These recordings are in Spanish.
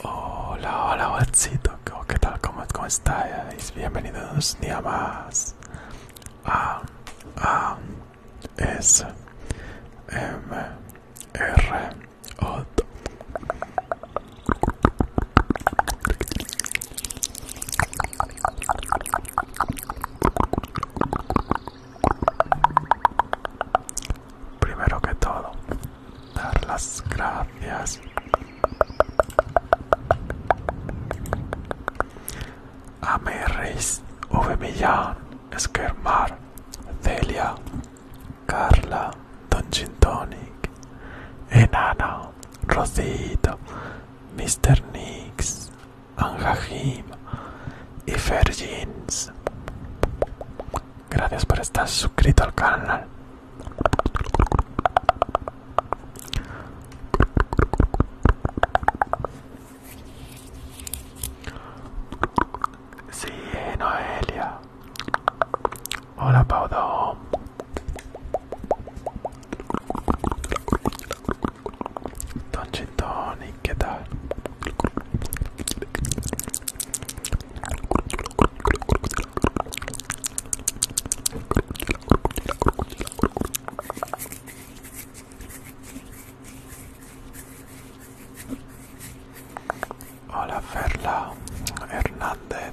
Hola, hola, guachito. ¿Qué tal? ¿Cómo, cómo estáis? Bienvenidos un día más a A S M em, R O Primero que todo, dar las gracias a Meris, V. Millán, Esquermar, Celia, Carla, Don Gintonic, Enana, Rosita, Mr. Nix, jim y Fergins. Gracias por estar suscrito al canal. Sí, Noelia. Hola, Paudo. don't ¿qué tal? Hola Ferla Hernández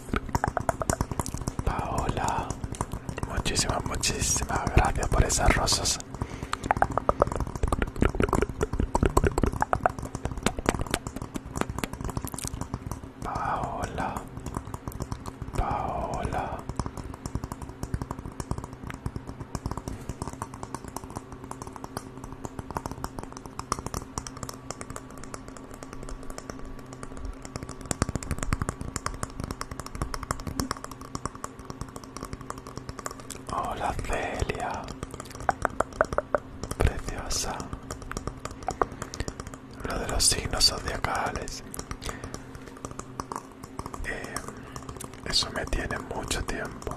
Paola, muchísimas, muchísimas gracias por esas rosas. Paola, Paola. Hola Celia, preciosa. uno de los signos zodiacales. Eh, eso me tiene mucho tiempo.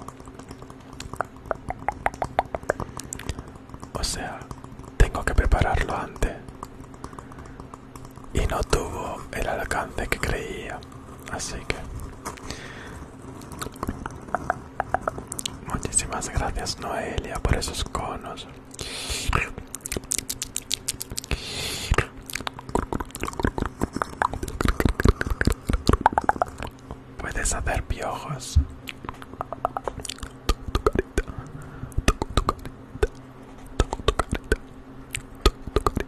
O sea, tengo que prepararlo antes y no tuvo el alcance que creía así que muchísimas gracias Noelia por esos conos puedes hacer piojos tu, carita, tu carita. Toco tu carita. Toco tu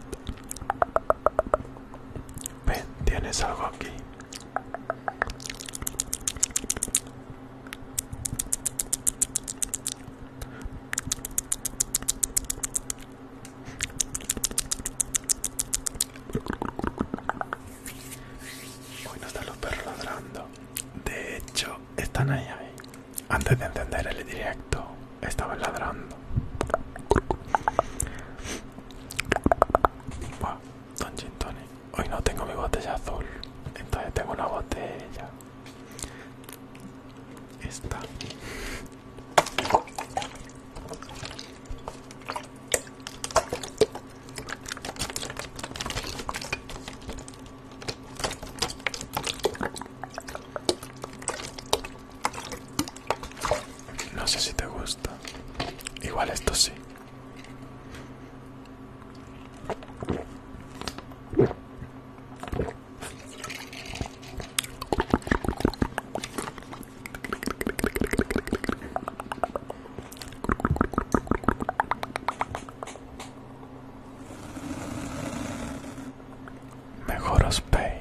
Ven, tienes algo aquí. Uy, no están los perros ladrando. De hecho, están ahí, ahí. Antes de encender el directo, estaba ladrando. Don Hoy no tengo mi botella azul, entonces tengo una botella. Esta. No sé si te gusta. Igual esto sí. Mejor os peino.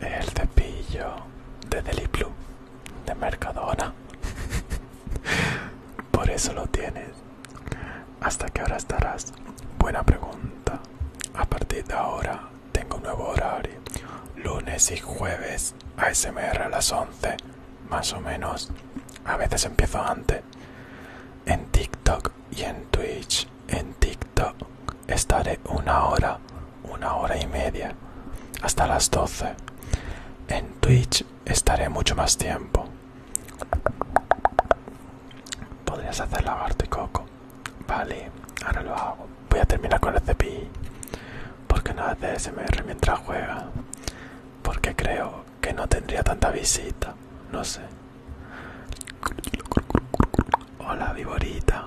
El cepillo de Blue, de Mercadona. Por eso lo tienes. ¿Hasta qué hora estarás? Buena pregunta. A partir de ahora tengo un nuevo horario. Lunes y jueves ASMR a las 11, más o menos. A veces empiezo antes, en TikTok y en Twitch. En TikTok estaré una hora, una hora y media, hasta las 12. En Twitch estaré mucho más tiempo. Podrías hacer lavarte, coco. Vale, ahora lo hago. Voy a terminar con el ¿Por Porque no hace SMR mientras juega. Porque creo que no tendría tanta visita. No sé. Hola, Viborita.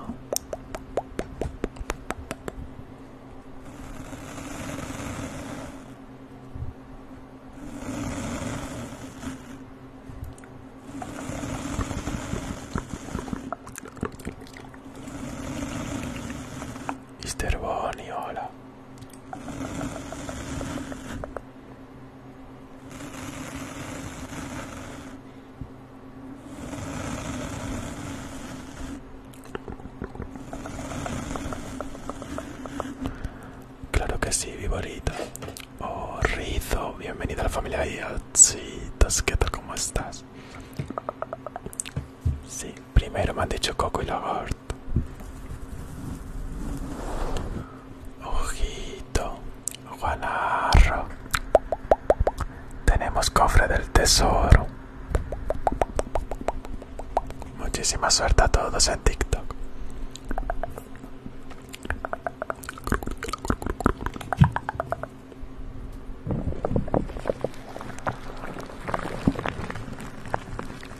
Mister Bonnie, hola. Claro que sí, Viborito. Oh, Rizo, bienvenida a la familia de ¿tas? tal? ¿Cómo estás? Sí, Primero me han dicho Coco y lagort Ojito, Juanarro. Tenemos cofre del tesoro. Muchísima suerte a todos en TikTok.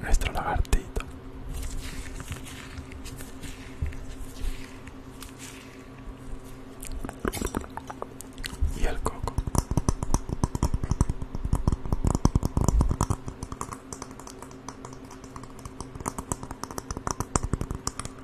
Nuestro lagartito. Y el coco.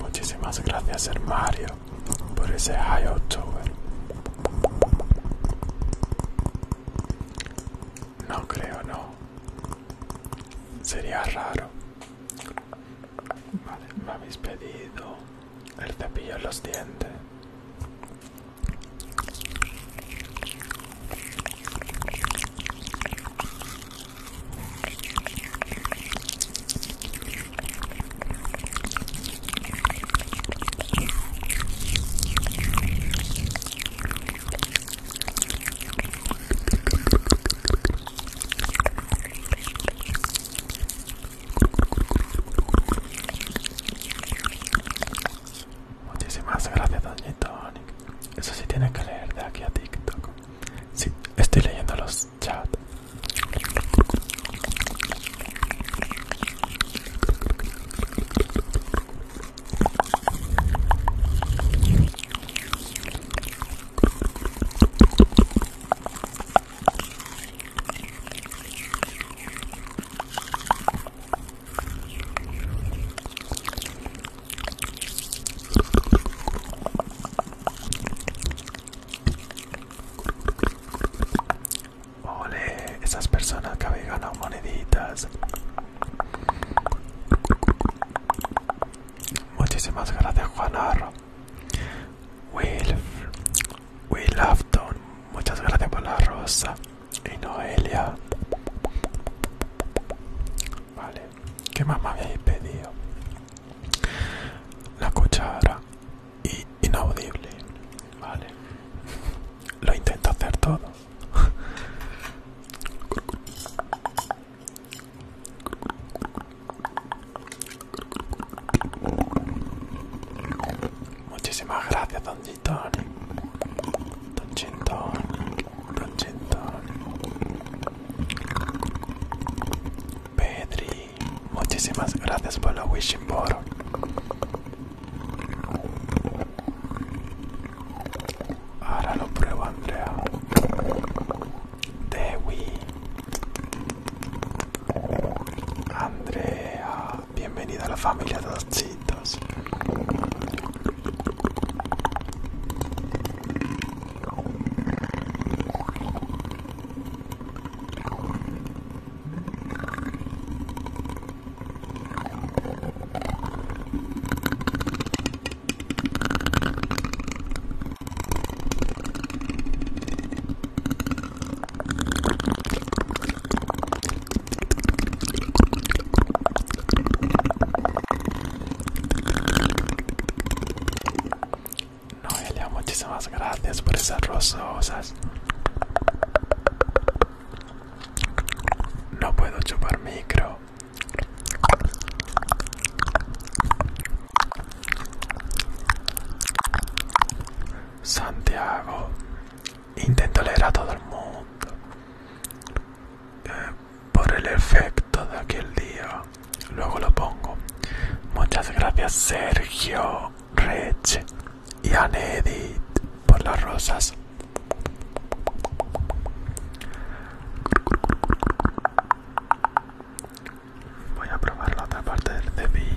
Muchísimas gracias, Mario, por ese high october. No creo, no. Sería raro. Vale, me habéis pedido el cepillo en los dientes. Muchísimas gracias, tonic. Eso sí tiene que leer de aquí a TikTok. Sí, estoy leyendo los chats. Ole, esas personas que habían ganado moneditas Muchísimas gracias Juan Arro. Will, Will Afton, muchas gracias por la rosa. Y Noelia. Vale, ¿qué más me habéis pedido? La cuchara inaudible. Vale. Lo intento hacer todo. Muchísimas gracias, Don Gintoni. Don Gintoni. Don Gintoni. Pedri, muchísimas gracias por la wishing board. Ahora lo pruebo, Andrea. Dewi. Andrea. bienvenida a la familia de los chitos. Noelia, muchísimas gracias por esas rososas No puedo chupar micro. Santiago. Intento leer a todo el mundo. Eh, por el efecto de aquel día. Luego lo pongo. Muchas gracias Sergio, Rech y Anedit por las rosas. Voy a probar la otra parte del cepillo.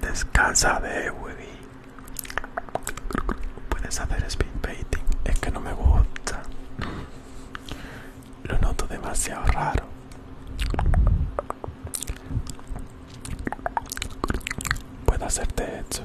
Descansa de Puedes hacer speed painting, es que no me gusta. Lo noto demasiado raro. Puede hacerte hecho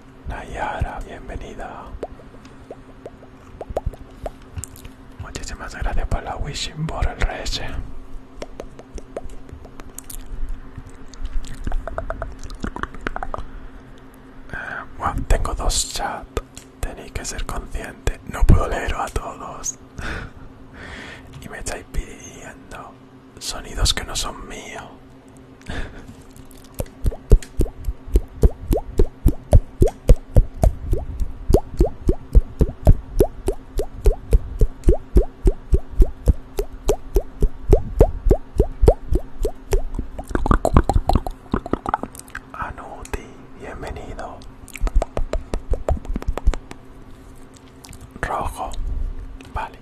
Nayara, bienvenida. Muchísimas gracias por la wishing por el eh, tengo dos chats, tenéis que ser conscientes. No puedo leer a todos. y me estáis pidiendo sonidos que no son míos. Anuti, bienvenido. Rojo, vale.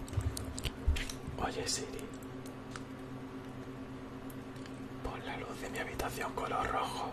Oye Siri, por la luz de mi habitación color rojo.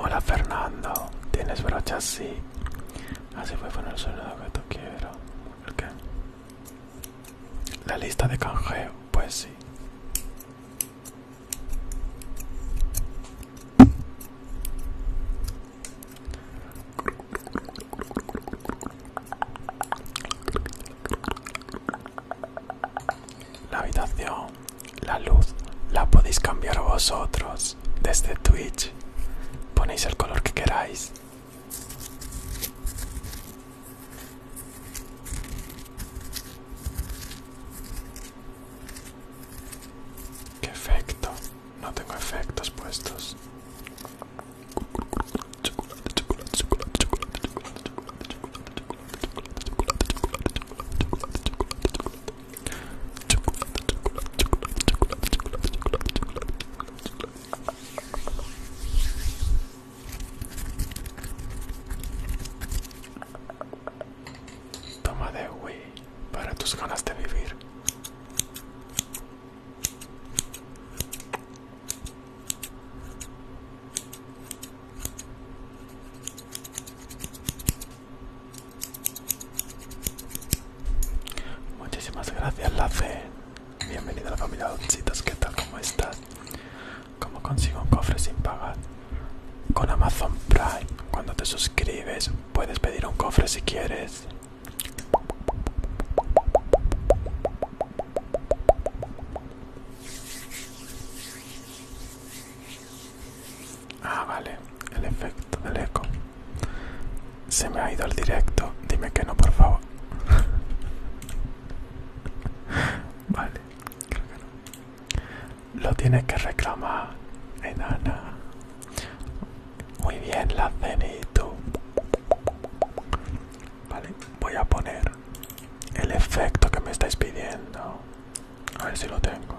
Hola Fernando, ¿tienes brochas? Sí. Así ah, fue con el sonido que te quiero. qué? La lista de canjeo, pues sí. La habitación, la luz, la podéis cambiar vosotros desde Twitch. Ponéis el color que queráis. Qué efecto, no tengo efectos puestos. Chocolate, chocolate, chocolate, chocolate, chocolate, chocolate, chocolate, chocolate, chocolate, chocolate, chocolate, chocolate, chocolate, chocolate, chocolate, chocolate, Toma de Wii para tus ganas de vivir. Muchísimas gracias, la fe Bienvenido a la familia Doncitas, ¿qué tal? ¿Cómo estás? ¿Cómo consigo un cofre sin pagar? Con Amazon Prime, cuando te suscribes, puedes pedir un cofre si quieres. Ah, vale, el efecto del eco. Se me ha ido el directo, dime que no, por favor. Vale, Lo tienes que reclamar, enana. Muy bien, la cenito. Vale, voy a poner el efecto que me estáis pidiendo. A ver si lo tengo.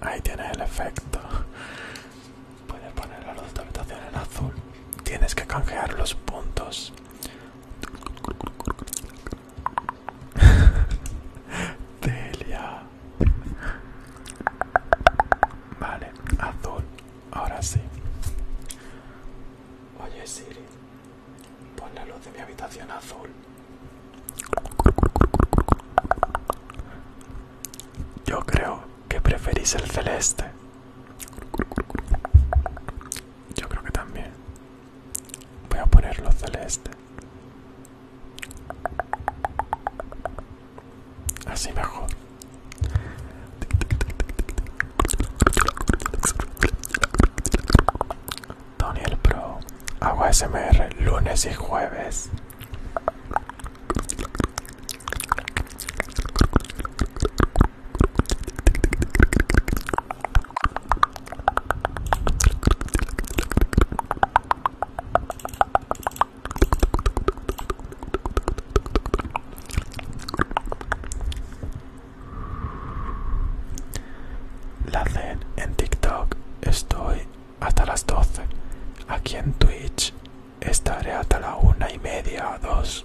Ahí tienes el efecto. Puedes poner la luz de habitación en azul. Tienes que canjear los puntos. Delia. Vale, azul. Ahora sí. Oye Siri, Pon la luz de mi habitación azul. Yo creo que preferís el celeste. Yo creo que también. Voy a ponerlo celeste. Así mejor. Daniel Pro, hago SMR lunes y jueves. La hacen en TikTok, estoy hasta las 12. Aquí en Twitch estaré hasta la una y media, dos.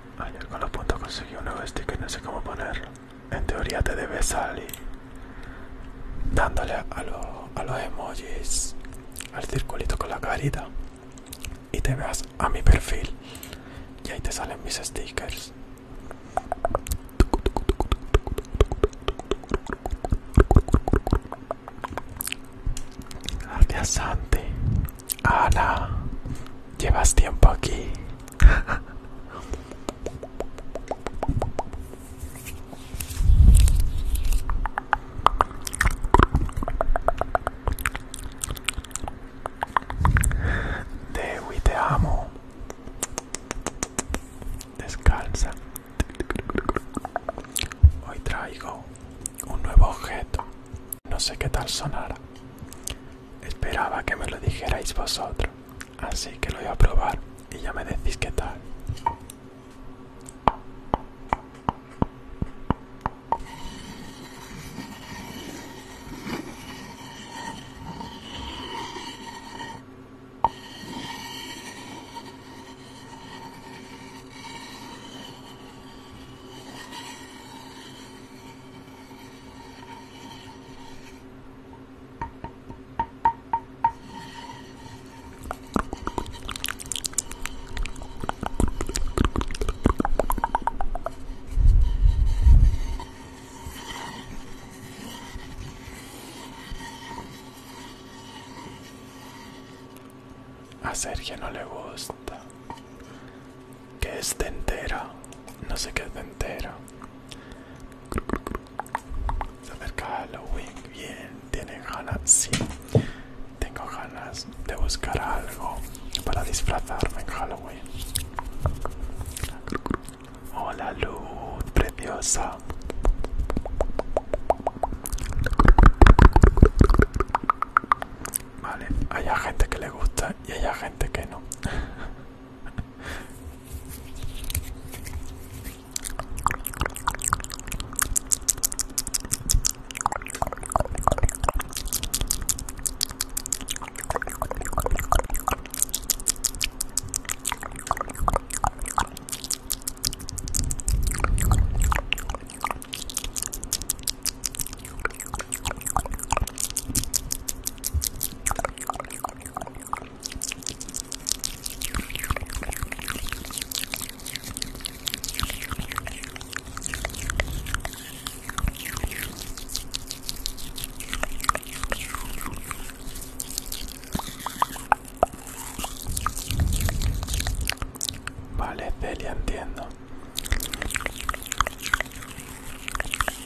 Ayer con los puntos conseguí un nuevo sticker, no sé cómo ponerlo. En teoría te debe salir dándole a, los emojis, al circulito con la carita y te veas a mi perfil y ahí te salen mis stickers. Gracias Santi, Ana, llevas tiempo aquí. Dewi, te amo. Descalza. Hoy traigo un nuevo objeto. No sé qué tal sonará. Esperaba que me lo dijerais vosotros, así que lo voy a probar y ya me decís qué tal. A Sergio no le gusta que es este dentera. No sé qué es dentera. Se acerca Halloween. Bien, tiene ganas. Sí, tengo ganas de buscar algo para disfrazarme en Halloween. Hola, luz preciosa. Vale, hay gente que le gusta y hay gente que no. Vale, Celia, entiendo.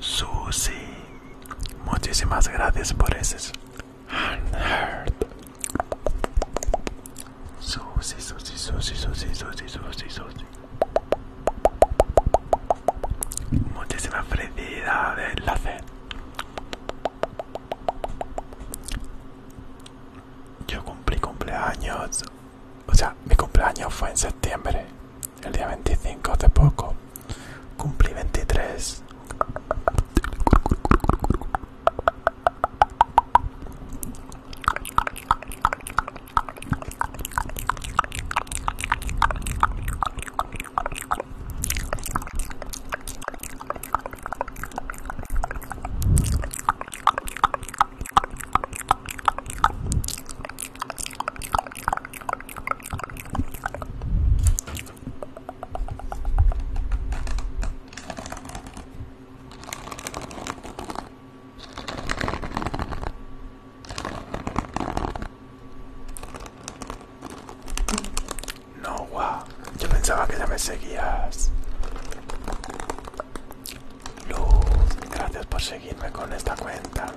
Susi, muchísimas gracias por ese. Susi, Susi, Susi, Susi, Susi, Susi, Susi. Muchísimas felicidad la enlace. Yo cumplí cumpleaños o sea, mi cumpleaños fue en septiembre, el día 25 hace poco. Cumplí 23. No, way! wow. yo pensaba que ya me Luz, gracias por seguirme con esta cuenta.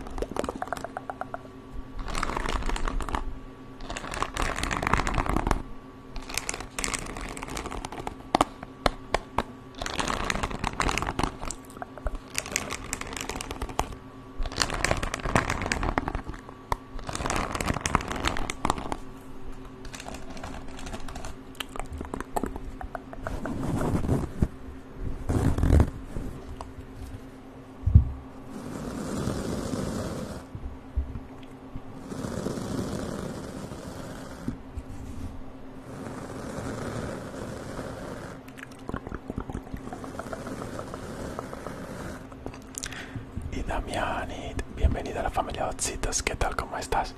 Y y bienvenida a la familia citas ¿qué tal? ¿Cómo estás?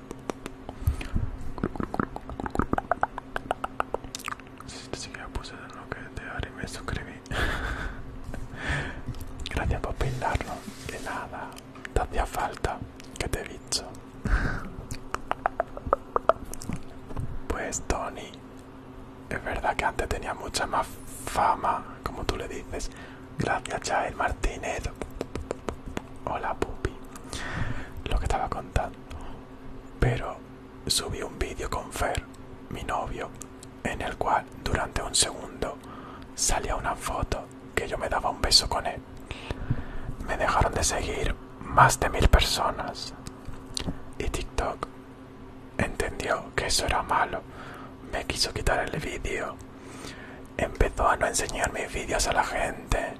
Si puse que te me suscribí. Gracias por peinarlo. De nada. Te hacía falta que te he dicho Pues Tony, es verdad que antes tenía mucha más fama, como tú le dices. Gracias, Jael Martínez. Hola, Pupi. Lo que estaba contando. Pero subí un vídeo con Fer, mi novio, en el cual durante un segundo salía una foto que yo me daba un beso con él. Me dejaron de seguir más de mil personas. Y TikTok entendió que eso era malo. Me quiso quitar el vídeo. Empezó a no enseñar mis vídeos a la gente.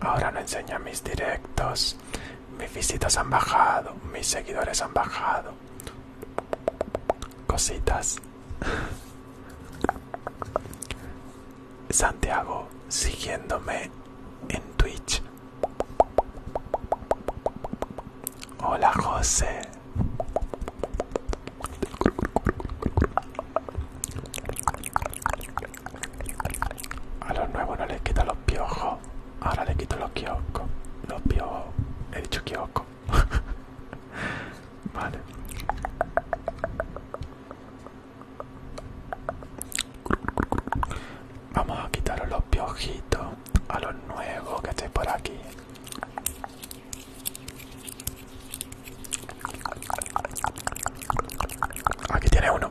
Ahora no enseña mis directos. Mis visitas han bajado, mis seguidores han bajado. Cositas. Santiago siguiéndome en Twitch. Hola José. A los nuevos no les quita los piojos. Ahora le quito los kioscos. Los piojos. He dicho kiosco. vale. Vamos a quitaros los piojitos a los nuevos que estén por aquí. Aquí tiene uno.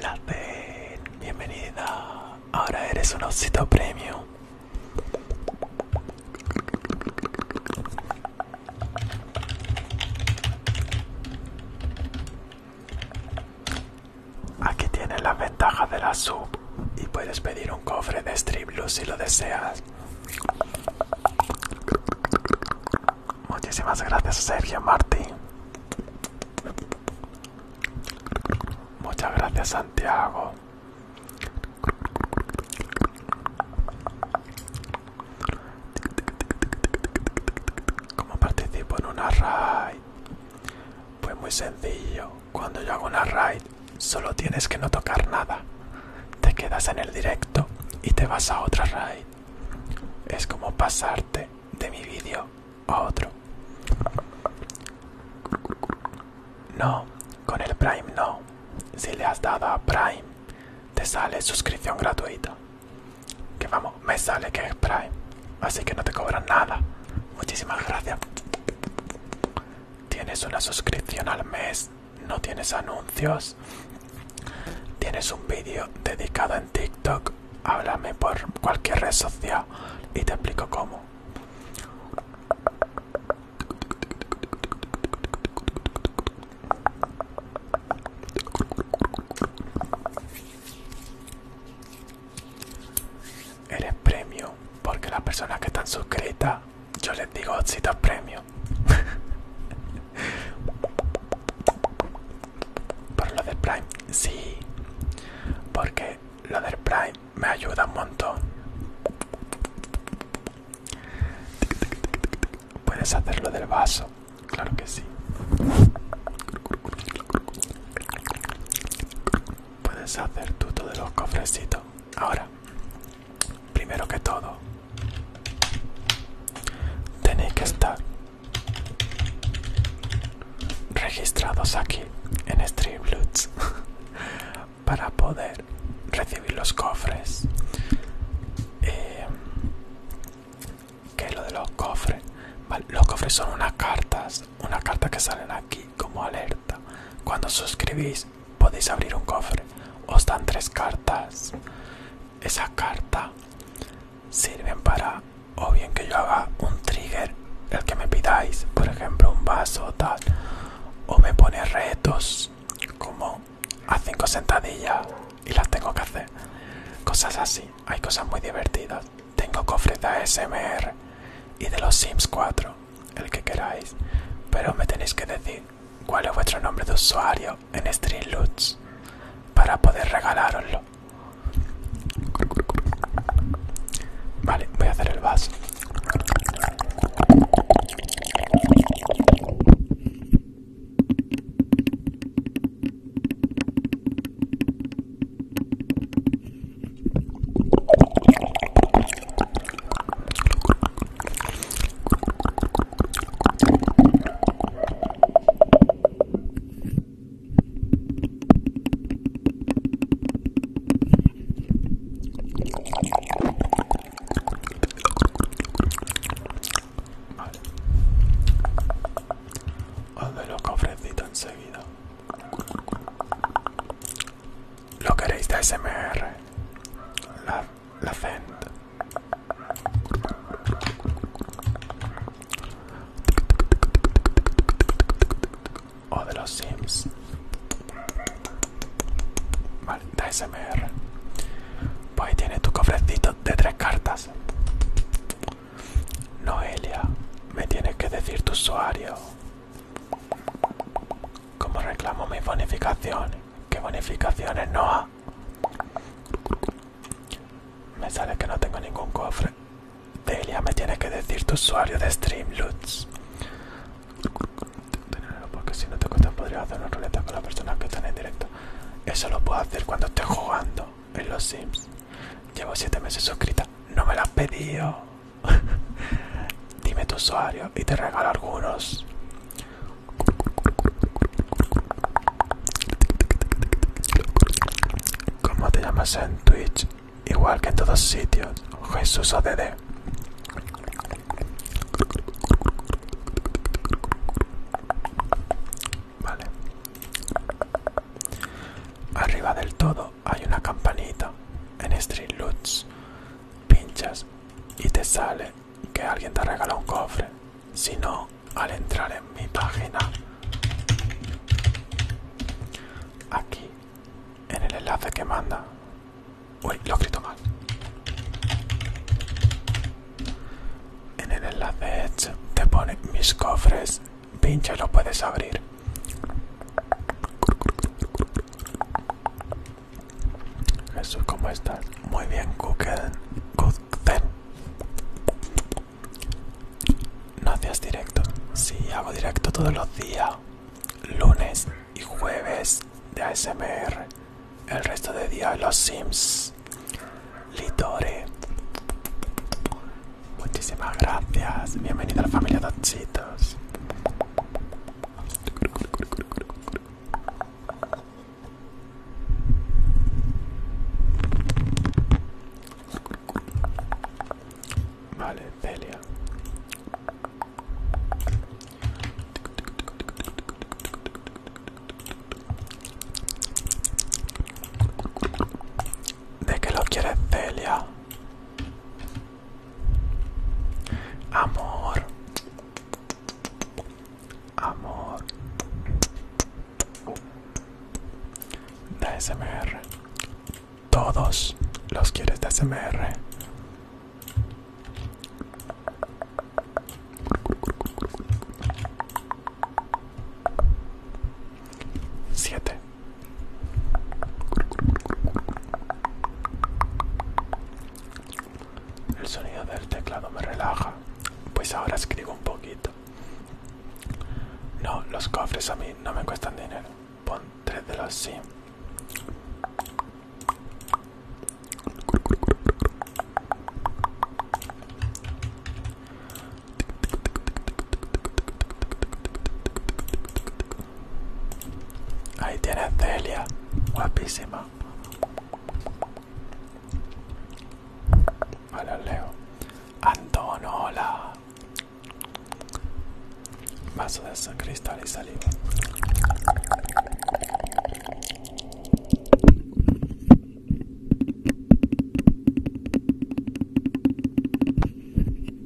Laten, bienvenida. Ahora eres un osito premio! Aquí tienes las ventajas de la sub y puedes pedir un cofre de Blue si lo deseas. Muchísimas gracias Sergio Martín. Muchas gracias Santiago. Como participo en una raid? Pues muy sencillo, cuando yo hago una raid solo tienes que no tocar nada. Te quedas en el directo y te vas a otra raid. Es como pasarte de mi vídeo a otro. No, con el Prime no. Si le has dado a Prime, te sale suscripción gratuita. Que vamos me sale que es Prime. Así que no te cobran nada. Muchísimas gracias. Tienes una suscripción al mes. No tienes anuncios. Tienes un vídeo dedicado en TikTok. Háblame por cualquier red social y te explico cómo eres premio porque las personas que están suscritas yo les digo si premio por lo del prime sí porque lo del prime me ayuda un montón puedes hacerlo del vaso claro que sí puedes hacer tú de los cofrecitos. Ahora, primero que todo, tenéis que estar registrados aquí en Streamloots para poder recibir los cofres. Eh, ¿Qué que lo de los cofres, los cofres son unas cartas, una carta que salen aquí como alerta. Cuando suscribís podéis abrir un cofre. Os dan tres cartas. esas cartas sirven para o bien que yo haga un trigger, el que me pidáis, por ejemplo un vaso o tal, o me pone retos como a cinco sentadillas y las tengo que hacer. Cosas así, hay cosas muy divertidas. Tengo cofres de ASMR y de los Sims 4, el que queráis, pero me tenéis que decir cuál es vuestro nombre de usuario en Streamloots para poder regalaroslo. Vale, voy a hacer el vaso. Vale. Hazme los cofrecitos enseguida. Lo queréis de SMR. La, la O de los Sims. Vale, de SMR. Pues ahí tienes tu cofrecito de tres cartas. Noelia, me tienes que decir tu usuario. ¿Cómo reclamo mis bonificaciones? ¿Qué bonificaciones, ha? Me sale que no tengo ningún cofre. Delia, me tienes que decir tu usuario de Streamloots. Porque si no te cuesta podría hacer una ruleta con las personas que están en directo. Eso lo puedo hacer cuando esté jugando en los Sims. Llevo 7 meses suscrita. No me lo has pedido. Dime tu usuario y te regalo algunos. ¿Cómo te llamas en Twitch? Igual que en todos sitios. Jesús ODD. Vale. Arriba del todo hay una campanita en Street Loots. Pinchas y te sale que alguien te regala un cofre. Si no, al entrar en mi página, aquí en el enlace que manda. Uy, lo escrito mal. En el enlace te pone mis cofres pinche lo puedes abrir Jesús ¿cómo estás? muy bien Google no hacías directo Sí, hago directo todos los días lunes y jueves de ASMR el resto de día los sims litore Muchísimas gracias. Bienvenido a la familia Tachitos. Vale, Celia. ¿De qué lo quieres, Celia? Amor. Amor. de SMR. Todos los quieres de SMR. 7 El sonido del teclado me relaja, pues ahora escribo un poquito. No, los cofres a mí no me cuestan dinero. Pon tres de los sí. Ahí tiene Celia, guapísima. Vale, leo. Antonola. Vaso de cristal y saliva.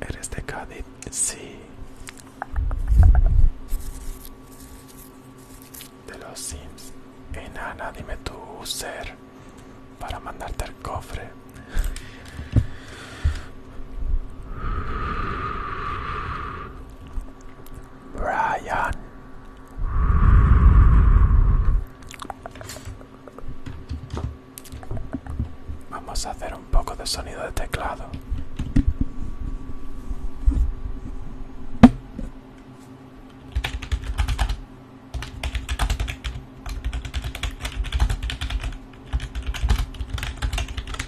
Eres de Cádiz, sí. De los Sims. Enana, eh, dime tu ser para mandarte al cofre. Brian. Vamos a hacer un poco de sonido de teclado.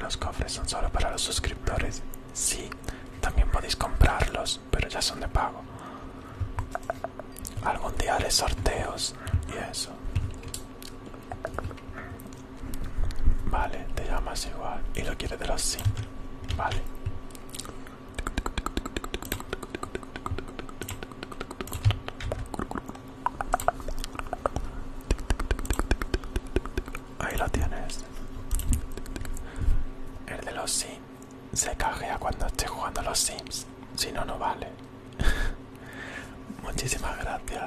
Los cofres son solo para los suscriptores. Sí, también podéis comprarlos pero ya son de pago. Algún día haré sorteos y eso. Vale, te llamas igual y lo quieres de los sí. Vale. Ahí lo tienes. El de los sí se cajea cuando esté jugando los Sims. Si no, no vale. Muchísimas gracias,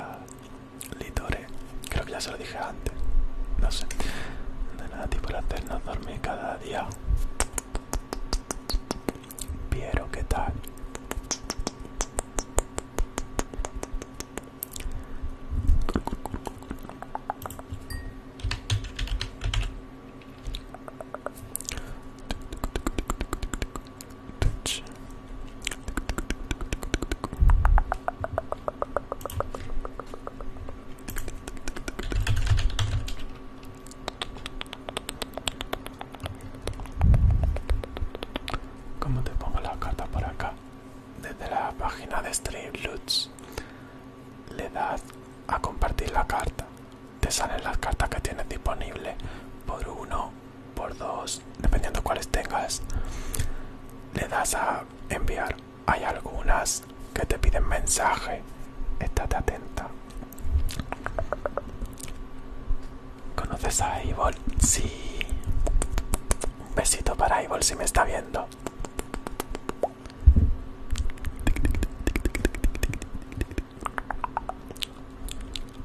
Litore. Creo que ya se lo dije antes. No sé. De nada, tipo la hacernos dormir cada día. Piero, ¿qué tal? ¿Cómo te pongo la carta por acá? Desde la página de Lutz, le das a compartir la carta te salen las cartas que tienes disponible por uno, por dos, dependiendo cuáles tengas. Le das a enviar. Hay algunas que te piden mensaje. Estate atenta. ¿Conoces a Ivol, Sí. Un besito para Ivol si me está viendo.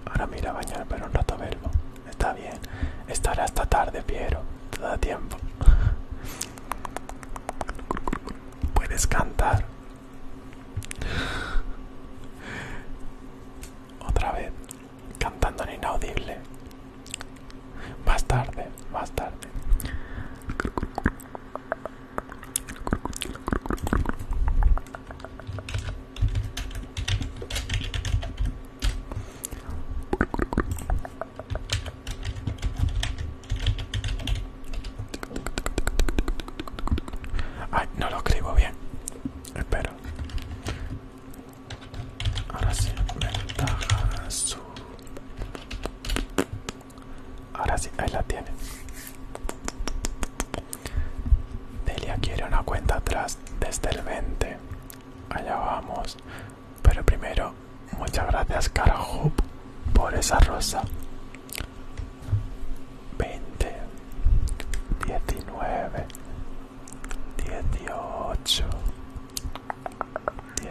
Ahora mira bañar pero un rato verbo. Está bien. Estará hasta tarde, Piero. Te da tiempo. Puedes cantar. Otra vez. Cantando en inaudible. Más tarde, más tarde. Ay, no lo escribo bien. Espero. Ahora sí, ventaja azul. Ahora sí, ahí la tiene. Delia quiere una cuenta atrás desde el 20. Allá vamos. Pero primero, muchas gracias Carahoop por esa rosa. 20, 19, 18,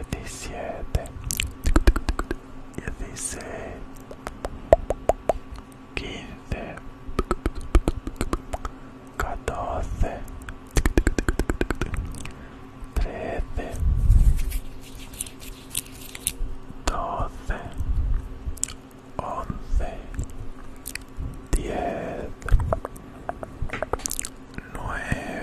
17, 16. 15, 14, 13, 12, 11, 10, 9.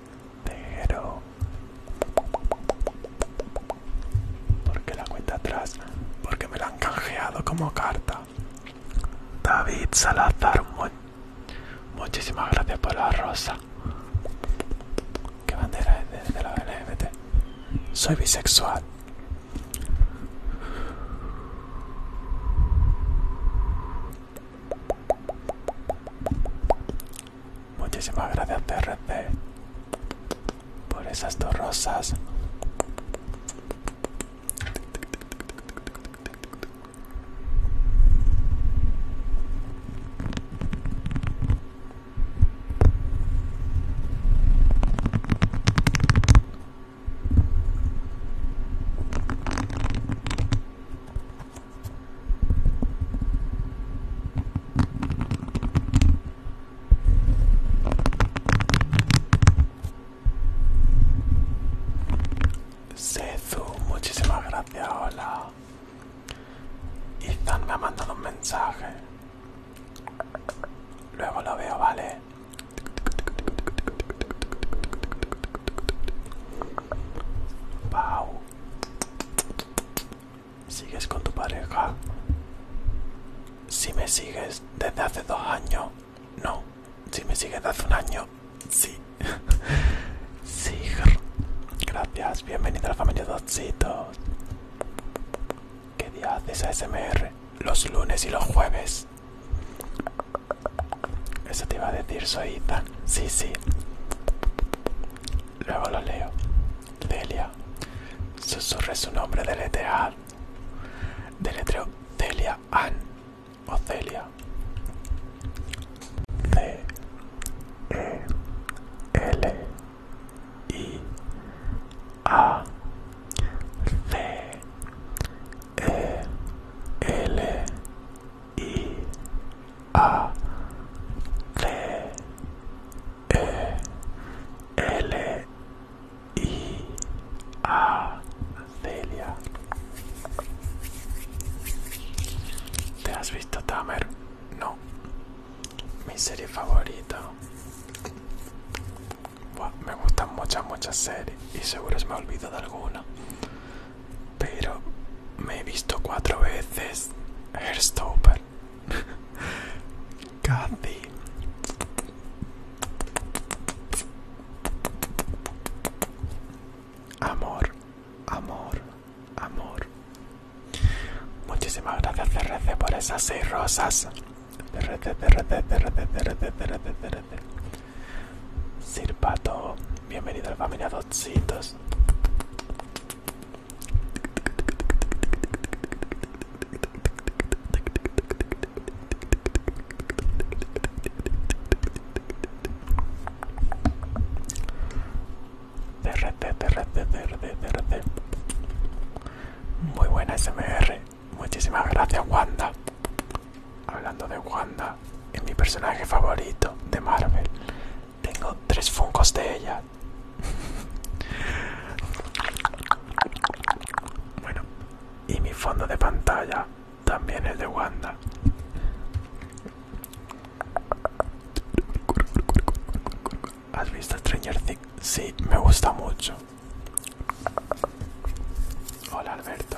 Pero porque la cuenta atrás, porque me la han canjeado como carta. David Salazar, muchísimas gracias por la rosa. ¿Qué bandera es de la LGBT? Soy bisexual. Muchísimas gracias TRC por esas dos rosas. Sezu, muchísimas gracias, hola. Ethan me ha mandado un mensaje. Luego lo veo, ¿vale? Pau, ¿Sigues con tu pareja? Si me sigues desde hace dos años, no. Si me sigues desde hace un año, sí. sí, gracias. Bienvenido a la familia dositos ¿Qué día haces a ASMR? Los lunes y los jueves. Eso te iba a decir, soy Sí, sí. Luego lo leo. Delia. Susurre su nombre de De letra Celia An o Celia. c E L I A C E L I A c E L I A Celia. ¿Te has visto Tamer? No. Mi serie favorita. me gustan muchas, muchas series y seguro se me ha olvidado alguna pero me he visto cuatro veces Heartstopper. Casi. Amor, amor, amor. Muchísimas gracias CRC por esas seis rosas. CRC, CRC, CRC, CRC, CRC, CRC. Sirpato, bienvenido al la familia Dotcitos. CRT, Muy buena SMR. Muchísimas gracias, Wanda. Hablando de Wanda, es mi personaje favorito de Marvel. Tengo tres funcos de ella. bueno, y mi fondo de pantalla también es de Wanda. ¿Has visto Stranger Things? Sí, me gusta mucho. Hola Alberto.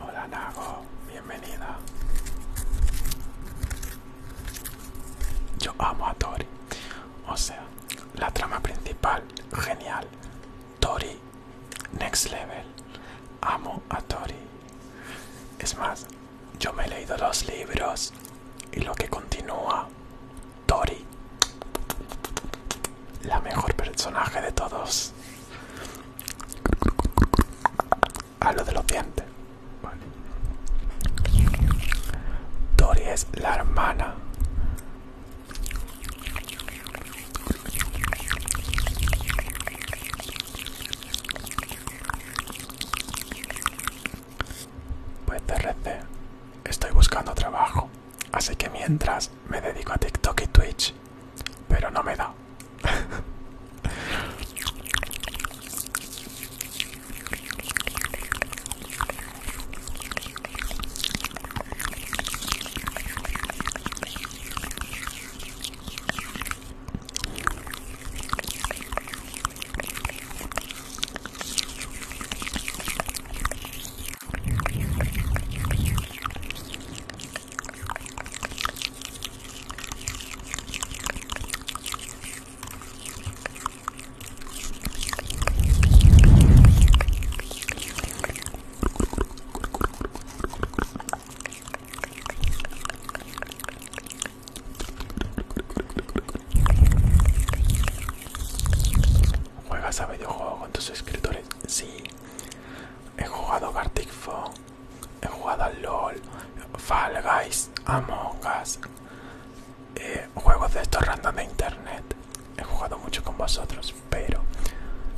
Hola Nago, bienvenida. Yo amo a Tori. O sea, la trama principal, genial. Tori, next level. Amo a Tori. Es más, yo me he leído los libros y lo que continúa, Tori la mejor personaje de todos. lo de los dientes. Vale. Tori es la hermana. Pues DRC, estoy buscando trabajo, así que mientras me dedico a TikTok y Twitch pero no me da. ¿Juegas a videojuegos con tus escritores? Sí. He jugado Gartic Fox, he jugado a LOL, Fall Guys, Among Us, eh, juegos de estos random de internet. He jugado mucho con vosotros, pero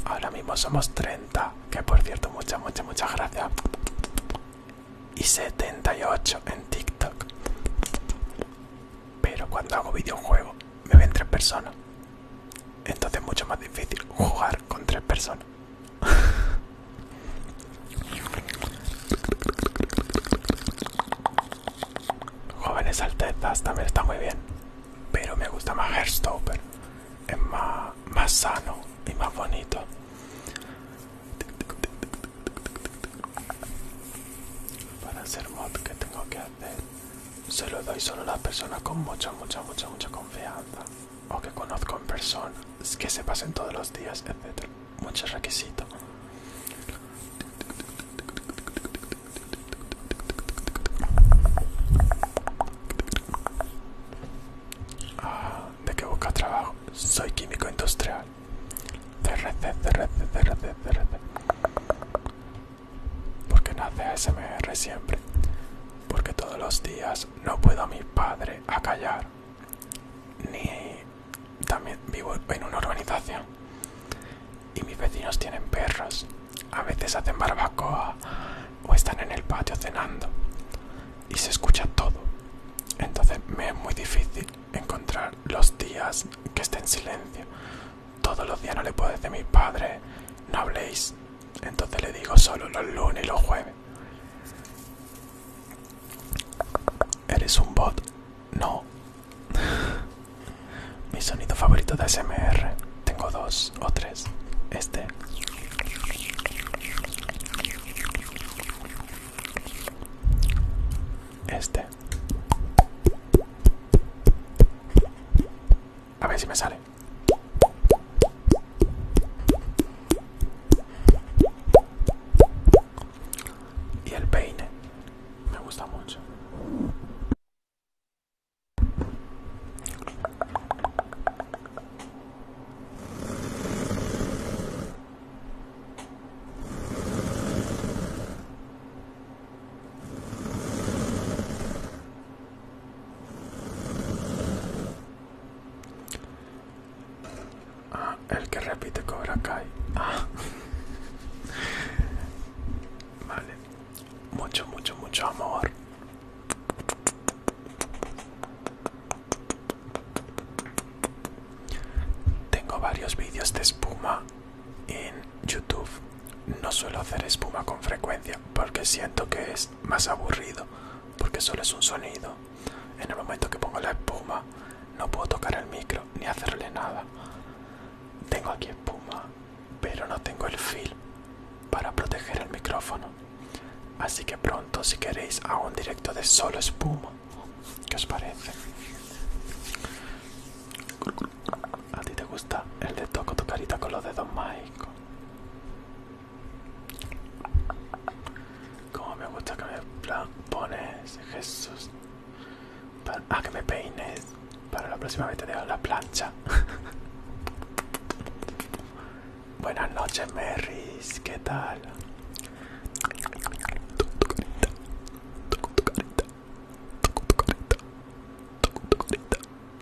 ahora mismo somos 30, que por cierto, muchas, muchas, muchas gracias. Y 78 en TikTok. Pero cuando hago videojuegos me ven tres personas. Entonces es mucho más difícil jugar con tres personas. Jóvenes Altezas también está muy bien, pero me gusta más Hearthstopper. Es más, más sano y más bonito. Para hacer mod que tengo que hacer, se lo doy solo a las personas con mucha, mucha, mucha, mucha confianza o que conozco en persona, que se pasen todos los días, etc. Muchos requisitos. Ah, ¿De qué busca trabajo? Soy químico industrial. CRC, CRC, Porque nace ASMR siempre. Porque todos los días no puedo a mi padre callar, ni también vivo en una urbanización y mis vecinos tienen perros, a veces hacen barbacoa o están en el patio cenando y se escucha todo, entonces me es muy difícil encontrar los días que esté en silencio. Todos los días no le puedo decir a mi padre no habléis, entonces le digo solo los lunes y los jueves. ¿Eres un bot? No. Mi sonido favorito de SMR. Tengo dos o tres. Este. Este. A ver si me sale. Y el peine. Me gusta mucho. Ah, el que repite Cobra Kai. Ah. vale. Mucho, mucho, mucho amor. Tengo varios vídeos de espuma en YouTube. No suelo hacer espuma con frecuencia porque siento que es más aburrido porque solo es un sonido. En el momento que pongo la espuma, no puedo tocar el micro ni hacerle nada. Tengo aquí espuma, pero no tengo el film para proteger el micrófono. Así que pronto, si queréis, hago un directo de solo espuma. ¿Qué os parece? ¿A ti te gusta el de toco tu carita con los dedos mágicos? Como me gusta que me pones, Jesús. Ah, que me peines. Para la próxima vez te dejo la plancha. Buenas noches, Merris. ¿Qué tal?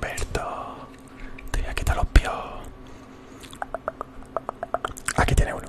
Berto, te voy los pies. Aquí tiene uno.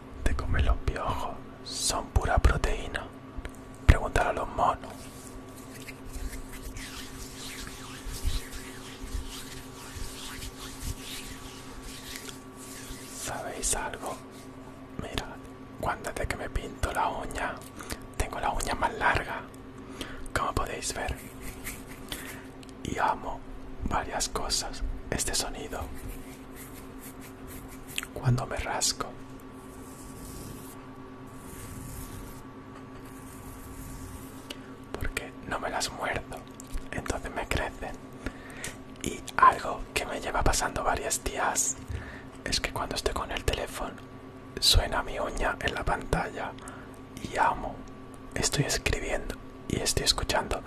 te comer los piojos, son pura proteína. Preguntar a los monos. ¿Sabéis algo? Mira, cuando desde que me pinto la uña, tengo la uña más larga, como podéis ver. Y amo varias cosas, este sonido cuando me rasco. Porque no me las muerdo, entonces me crecen. Y algo que me lleva pasando varios días es que cuando estoy con el teléfono suena mi uña en la pantalla y amo. Estoy escribiendo y estoy escuchando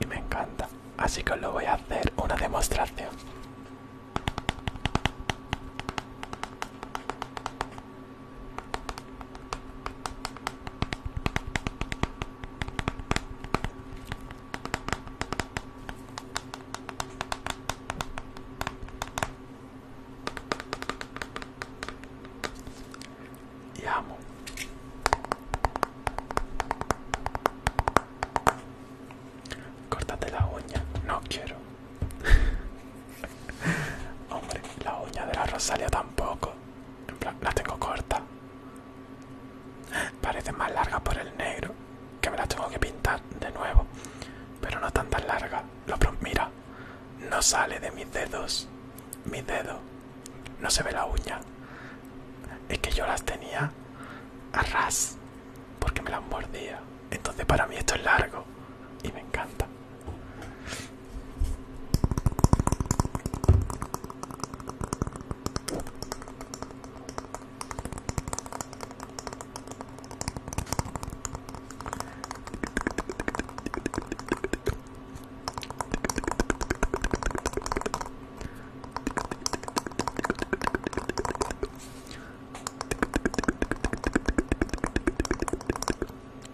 y me encanta así que os lo voy a hacer una demostración y amo. Córtate la uña, no quiero. Hombre, la uña de la Rosalia tampoco. En plan, la tengo corta. Parece más larga por el negro, que me la tengo que pintar de nuevo. Pero no tan tan larga. Lo mira, no sale de mis dedos, mi dedo, no se ve la uña. Es que yo las tenía a ras porque me las mordía. Entonces para mí esto es largo y me encanta.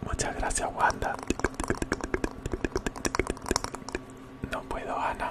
Muchas gracias, Wanda. No puedo, Ana.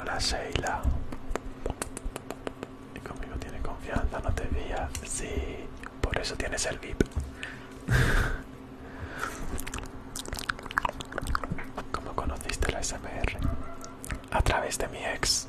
Hola Sheila. Y conmigo tiene confianza, no te veía? Sí, por eso tienes el VIP. ¿Cómo conociste la SMR? A través de mi ex.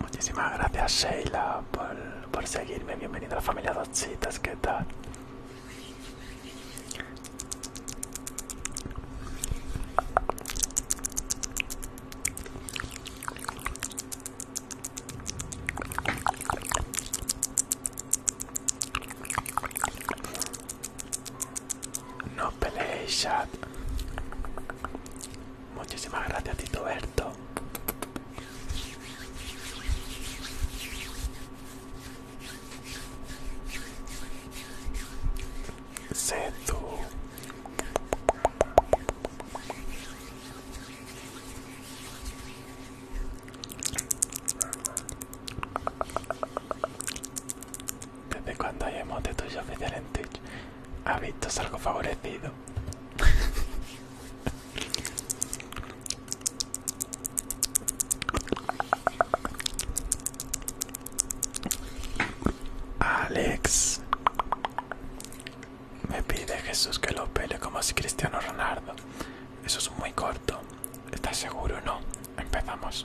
Muchísimas gracias Sheila por, seguirme. Bienvenido a la familia Dos Chitas, ¿qué tal? No peleéis, chat. Muchísimas gracias, Tito Berto. tú? ¿Desde cuándo hay emote tuyo oficial ha visto algo favorecido Alex me pide Jesús que lo pele como si Cristiano Ronaldo. Eso es muy corto. ¿Estás seguro? No. Empezamos.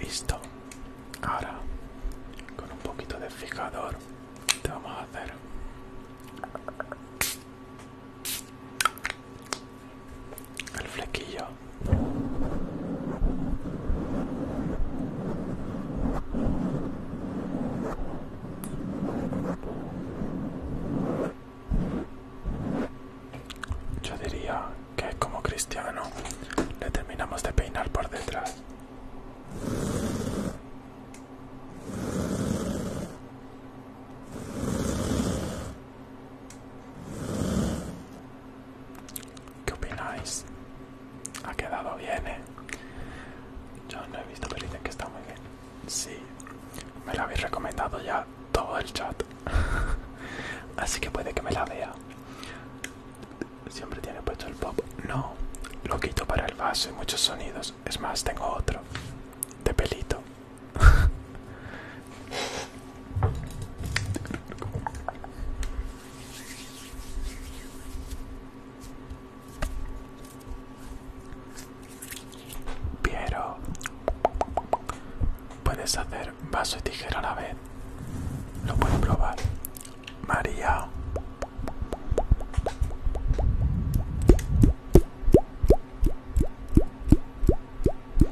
Listo. Ahora, con un poquito de fijador, te vamos a hacer el flequillo yo diría que como cristiano le terminamos de peinar por detrás ¿Qué opináis? Ha quedado bien, ¿eh? Yo no he visto, pero que está muy bien. Sí, me lo habéis recomendado ya todo el chat. Así que puede que me la vea. Siempre tiene puesto el pop. No, lo quito para el vaso y muchos sonidos. Es más, tengo otro. De pelito. Piero, puedes hacer vaso y tijera a la vez. Lo puedes probar. María.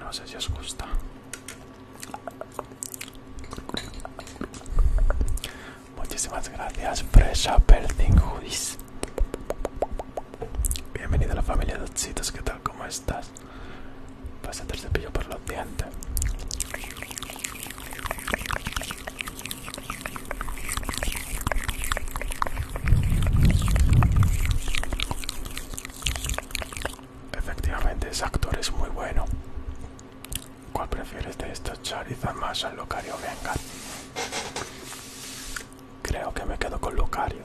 No sé si os gusta Muchísimas gracias, Presa Perthing Bienvenido a la familia de ¿qué tal? ¿Cómo estás? a el cepillo por los dientes. Efectivamente, ese actor es muy bueno. ¿Cuál prefieres de estos Charizard más al Locario Venga. Creo que me quedo con Locario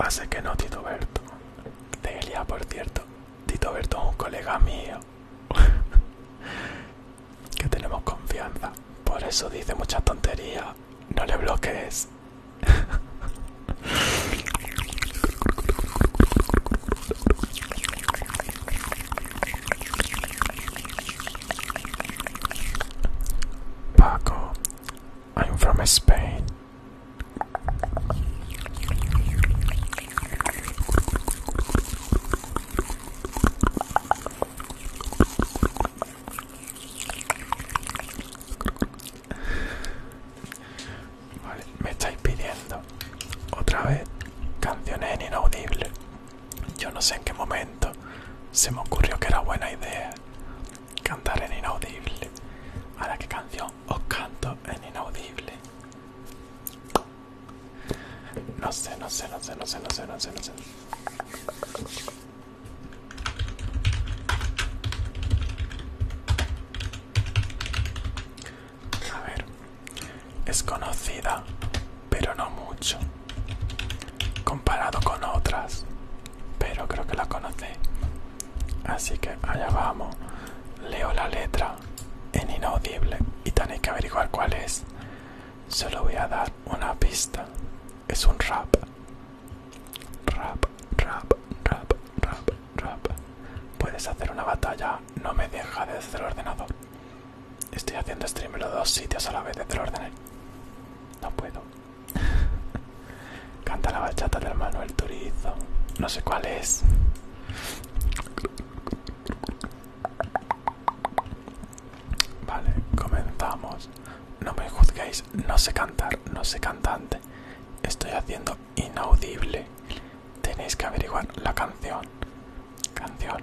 Va a ser que no, Tito Berto. Delia, por cierto. Tito Berto es un colega mío. que tenemos confianza. Por eso dice mucha tontería. No le bloquees. Paco, I'm from Spain. Vale, me estáis pidiendo otra vez canciones en inaudible. Yo no sé en qué momento se me ocurrió que era buena idea cantar en inaudible. Ahora, ¿qué canción ¿O os canto en inaudible. No sé, no sé, no sé, no sé, no sé, no sé, no sé. A ver, es conocida, pero no mucho. Comparado con otras, pero creo que la conoce. Así que allá vamos. Leo la letra en inaudible y tenéis que averiguar cuál es. Solo voy a dar una pista. Es un rap. Rap, rap, rap, rap, rap. Puedes hacer una batalla. No me deja desde el ordenador. Estoy haciendo stream en los dos sitios a la vez desde el ordenador. No puedo. Canta la bachata del Manuel Turizo. No sé cuál es. Vale, comenzamos. No me juzguéis, no sé cantar, no sé cantante. Estoy haciendo inaudible. Tenéis que averiguar la canción. Canción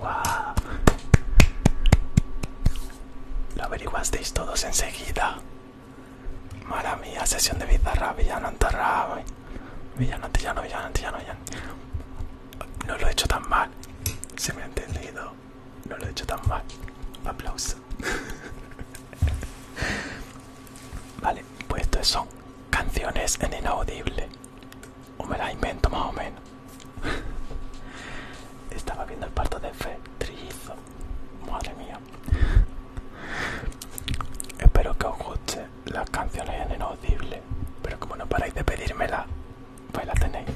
Wow. Lo averiguasteis todos enseguida. Mala mía, sesión de bizarra, villano antarra. Eh. Villano, antillano, villano, No lo he hecho tan mal. Se me ha entendido. No lo he hecho tan mal. Aplauso. vale, pues esto son canciones en inaudible. O me la invento más o menos. Estaba viendo el parto de Fe, Trillizo. Madre mía. Espero que os guste las canciones en inaudible. Pero como no paráis de pedírmela, pues la tenéis.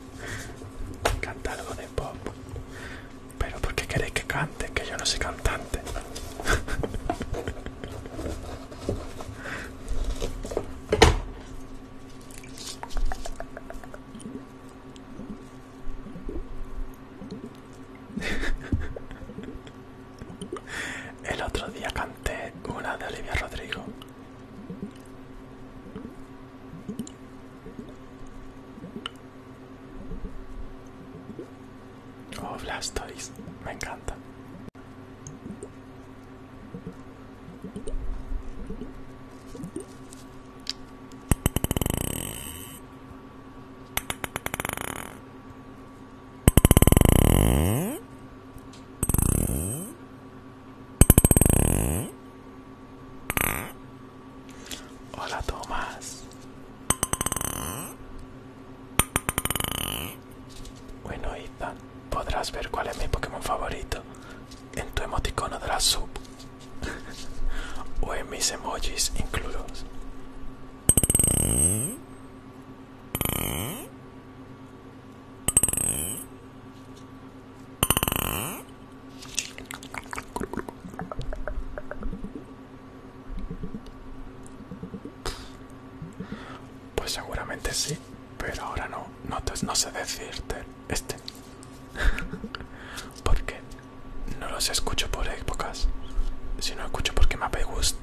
Canta algo de pop. Pero porque queréis que cante, que yo no soy cantante. El otro día canté una de Olivia Rodrigo. Oh, Blastoise, me encanta. Hola Tomás. Bueno, Ethan, podrás ver cuál es mi Pokémon favorito en tu emoticono de la sub o en mis emojis incluidos. Pues seguramente sí, pero ahora no, no, te, no sé decirte este. porque no los escucho por épocas, sino escucho porque me gusta,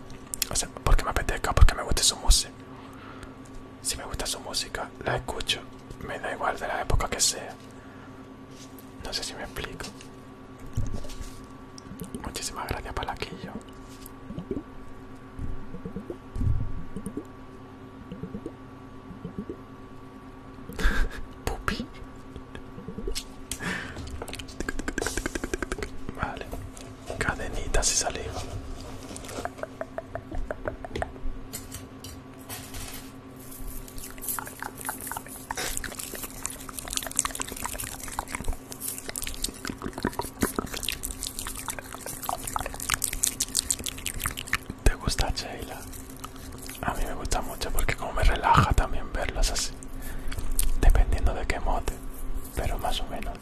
porque me apetezca, porque me gusta su música. Si me gusta su música, la escucho, me da igual de la época que sea. No sé si me explico. Muchísimas gracias, Palaquillo. Pupi. Vale. cadenita se sale. ¿Te gusta Sheila? A mí me gusta mucho porque como me relaja también verlos así. Dependiendo de qué mote, pero más o menos.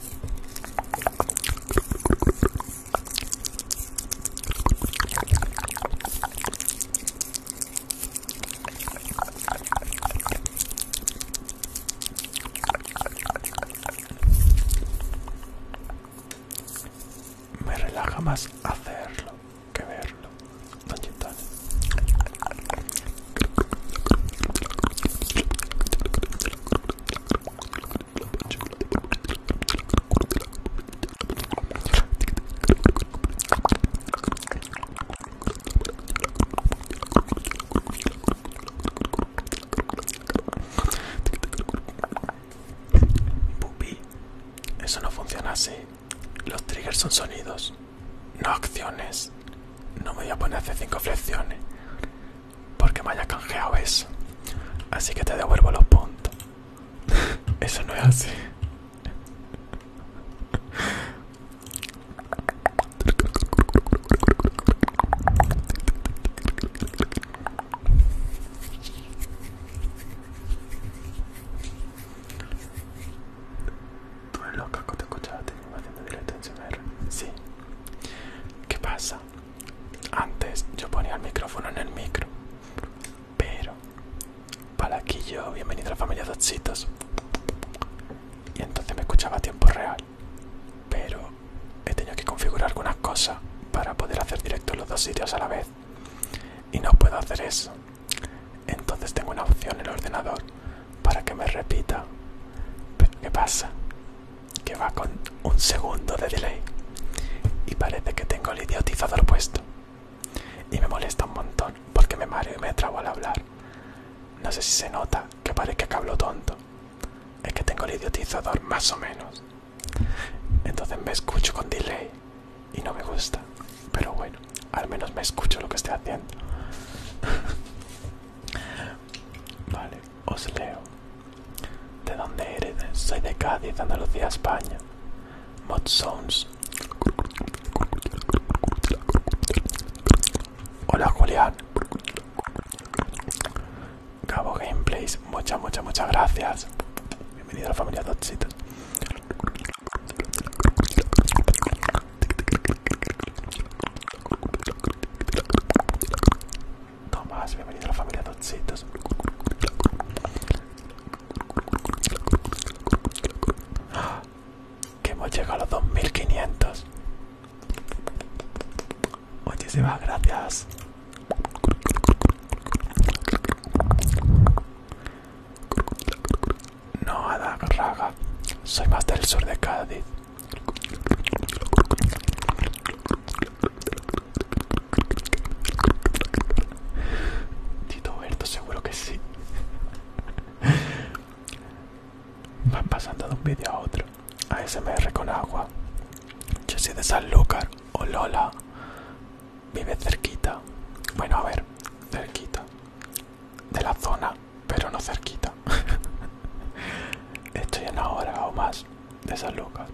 Me relaja más hacerlo que verlo eso no funciona así. Los triggers son sonidos, no acciones. No me voy a poner hace cinco flexiones porque me haya canjeado eso. Así que te devuelvo los puntos. eso no es así. Tú eres loca que te escuchaste haciendo directo en CMR. Sí. ¿Qué pasa? Antes yo ponía el micrófono en el micro. Pero. Para aquí yo, bienvenido a la familia de oxitos Y entonces me escuchaba a tiempo real pero he tenido que configurar algunas cosas para poder hacer directo los dos sitios a la vez y no puedo hacer eso entonces tengo una opción en el ordenador para que me repita pero qué pasa que va con un segundo de delay y parece que tengo el idiotizador puesto y me molesta un montón porque me mareo y me trago al hablar no sé si se nota que parece que hablo tonto es que tengo el idiotizador más o menos. Entonces me escucho con delay y no me gusta. Pero bueno, al menos me escucho lo que estoy haciendo. vale, os leo. ¿De dónde eres? Soy de Cádiz, Andalucía, España. Mod Sounds. Hola Julián. Cabo Gameplays, muchas, muchas, muchas gracias. Bienvenido a la familia Dotsitos. Tomás, bienvenido a la familia Dotsitos. Que hemos llegado a los 2500. Muchísimas gracias. No, Raga, soy más del sur de Cádiz. Tito Berto, seguro que sí. Van pasando de un vídeo a otro. A ASMR con agua. Yo soy de Sanlúcar o Lola. Vive cerquita. Bueno, a ver, cerquita. De la zona, pero no cerquita. Estoy en hora o más de Sanlúcar.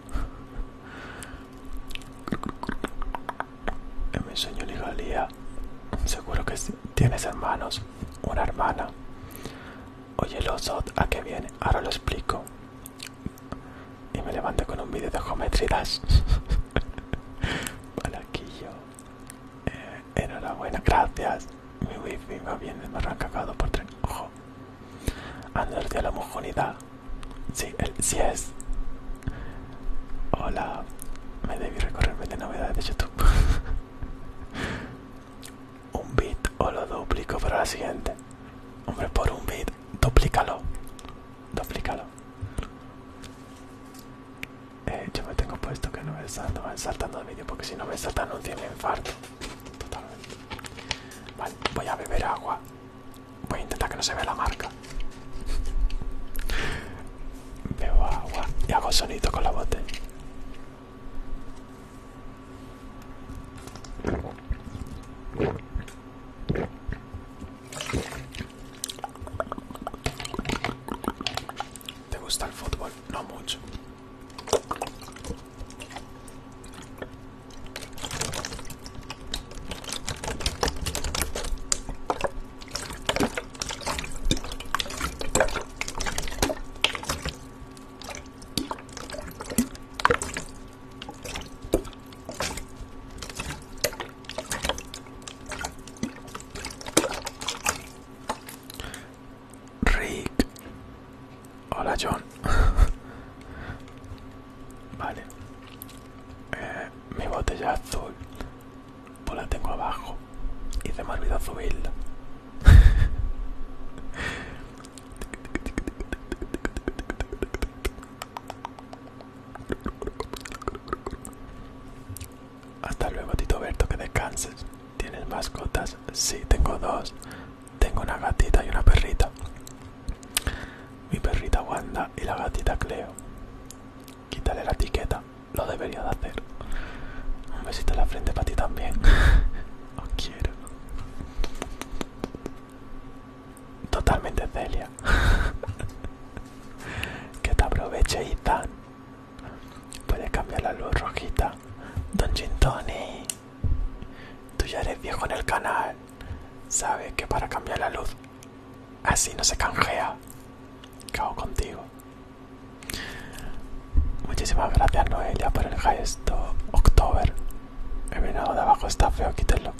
En mi sueño ligalía. seguro que tienes hermanos, una hermana. Oye, los DOT, ¿a qué viene? Ahora lo explico. Y me levanto con un vídeo de geometrías. Para Eh, enhorabuena, gracias. Mi wifi va bien, me habrán cagado por tres. Ojo. Andrés de la homogeneidad. Si sí es. Hola. Me debí recorrerme de novedades de YouTube. un bit o lo duplico para la siguiente. Hombre, por un bit, duplícalo. Duplícalo. Eh, yo me tengo puesto que no me, salta saltando el vídeo porque si no me salta anuncio me infarto. Totalmente. Vale, voy a beber agua. Voy a intentar que no se vea la marca. Bebo agua y hago sonido con la botella. ¿Te gusta el fútbol? No mucho. Rick. Hola John. vale. Eh, mi botella azul. Pues la tengo abajo. Y se me olvidó subirla. Hasta luego, Tito Berto, que descanses. ¿Tienes mascotas? Sí, tengo dos. Tengo una gatita y una perrita. Mi perrita Wanda y la gatita Cleo. Quítale la etiqueta, lo debería de hacer. Un besito en la frente para ti también. Os quiero. Totalmente Celia. que te aproveche, tan. Puedes cambiar la luz rojita. Don Gintoni Tú ya eres viejo en el canal. Sabes que para cambiar la luz así no se canjea. Cago contigo. Muchísimas gracias Noelia por el gesto October. El venado de abajo está feo, quítelo.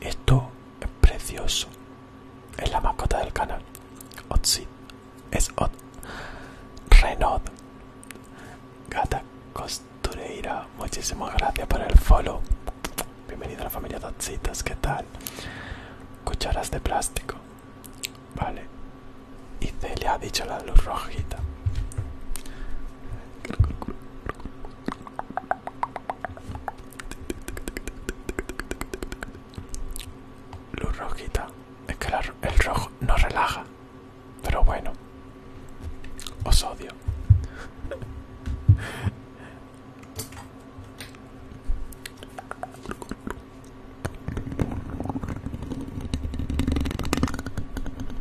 Esto es precioso. Es la mascota del canal. Otsit. Es Ot. Renaud. Gata Costureira. Muchísimas gracias por el follow. Bienvenido a la familia de Otsitas. ¿Qué tal? Cucharas de plástico. Vale. Y le ha dicho la luz rojita. Luz rojita. Es que el rojo no relaja. Pero bueno. Os odio.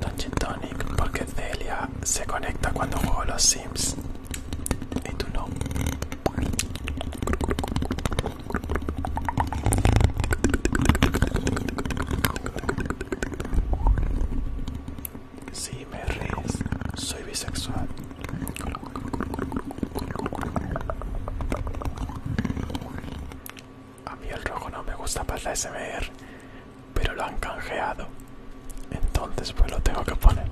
Dungeon Tonic, porque Celia se conecta cuando juego los Sims. Y tú no. sí, me ríes, soy bisexual. A mí el rojo no me gusta para la SMR, pero lo han canjeado. Entonces pues lo tengo que poner.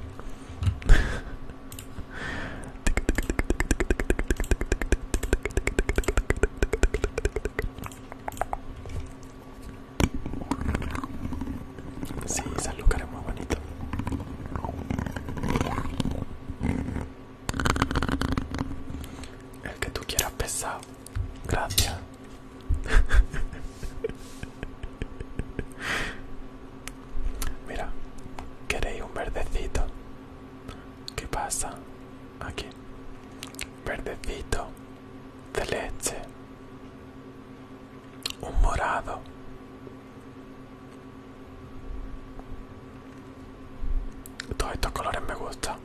Sí, ese lugar es muy bonito. El que tú quieras pesar. Gracias. Mira, queréis un verdecito. ¿Qué pasa? Aquí. Verdecito. De leche. Un morado. Todos estos colores me gustan.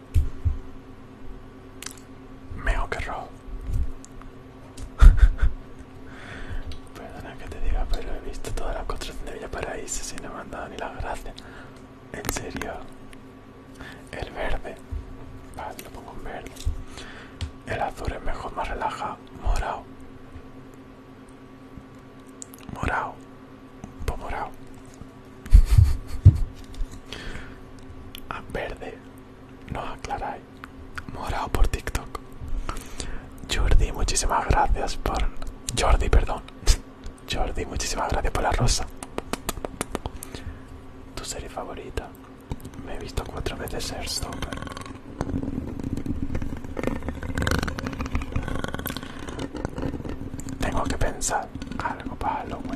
Meo que rojo. Perdona que te diga, pero he visto todas las construcciones de Paraíso si no me han dado ni la gracia En serio. El verde. Vale, lo pongo en verde. El azul es mejor, más relajado. Morado. Morado. Un morado. A ah, verde, no aclaráis. Morado por TikTok. Jordi, muchísimas gracias por. Jordi, perdón. Jordi, muchísimas gracias por la rosa. Tu serie favorita. Me he visto cuatro veces Airstopper. Tengo que pensar algo para Halloween.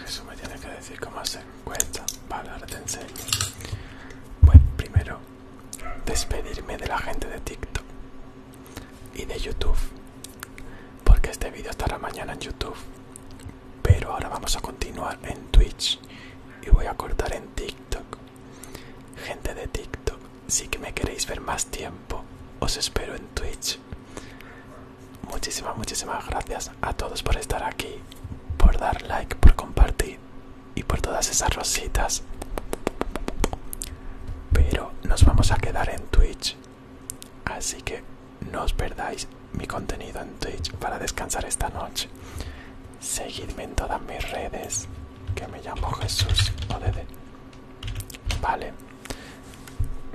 Jesús me tiene que decir cómo se encuentra Vale, ahora te enseño. Pues primero, despedirme de la gente de TikTok y de YouTube. Porque este vídeo estará mañana en YouTube. Pero ahora vamos a continuar en Twitch y voy a cortar en TikTok. Gente de TikTok, si que me queréis ver más tiempo, os espero en Twitch muchísimas, muchísimas gracias a todos por estar aquí, por dar like, por compartir y por todas esas rositas. Pero nos vamos a quedar en Twitch, así que no os perdáis mi contenido en Twitch para descansar esta noche. Seguidme en todas mis redes, que me llamo Jesús ODD. Vale.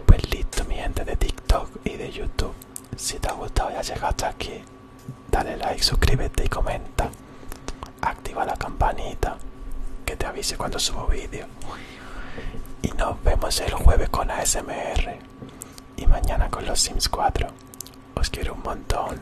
Pues listo mi gente de TikTok y de YouTube. Si te ha gustado y has llegado hasta aquí, dale like, suscríbete y comenta. Activa la campanita que te avise cuando subo vídeo. Y nos vemos el jueves con ASMR. Y mañana con los Sims 4. Os quiero un montón.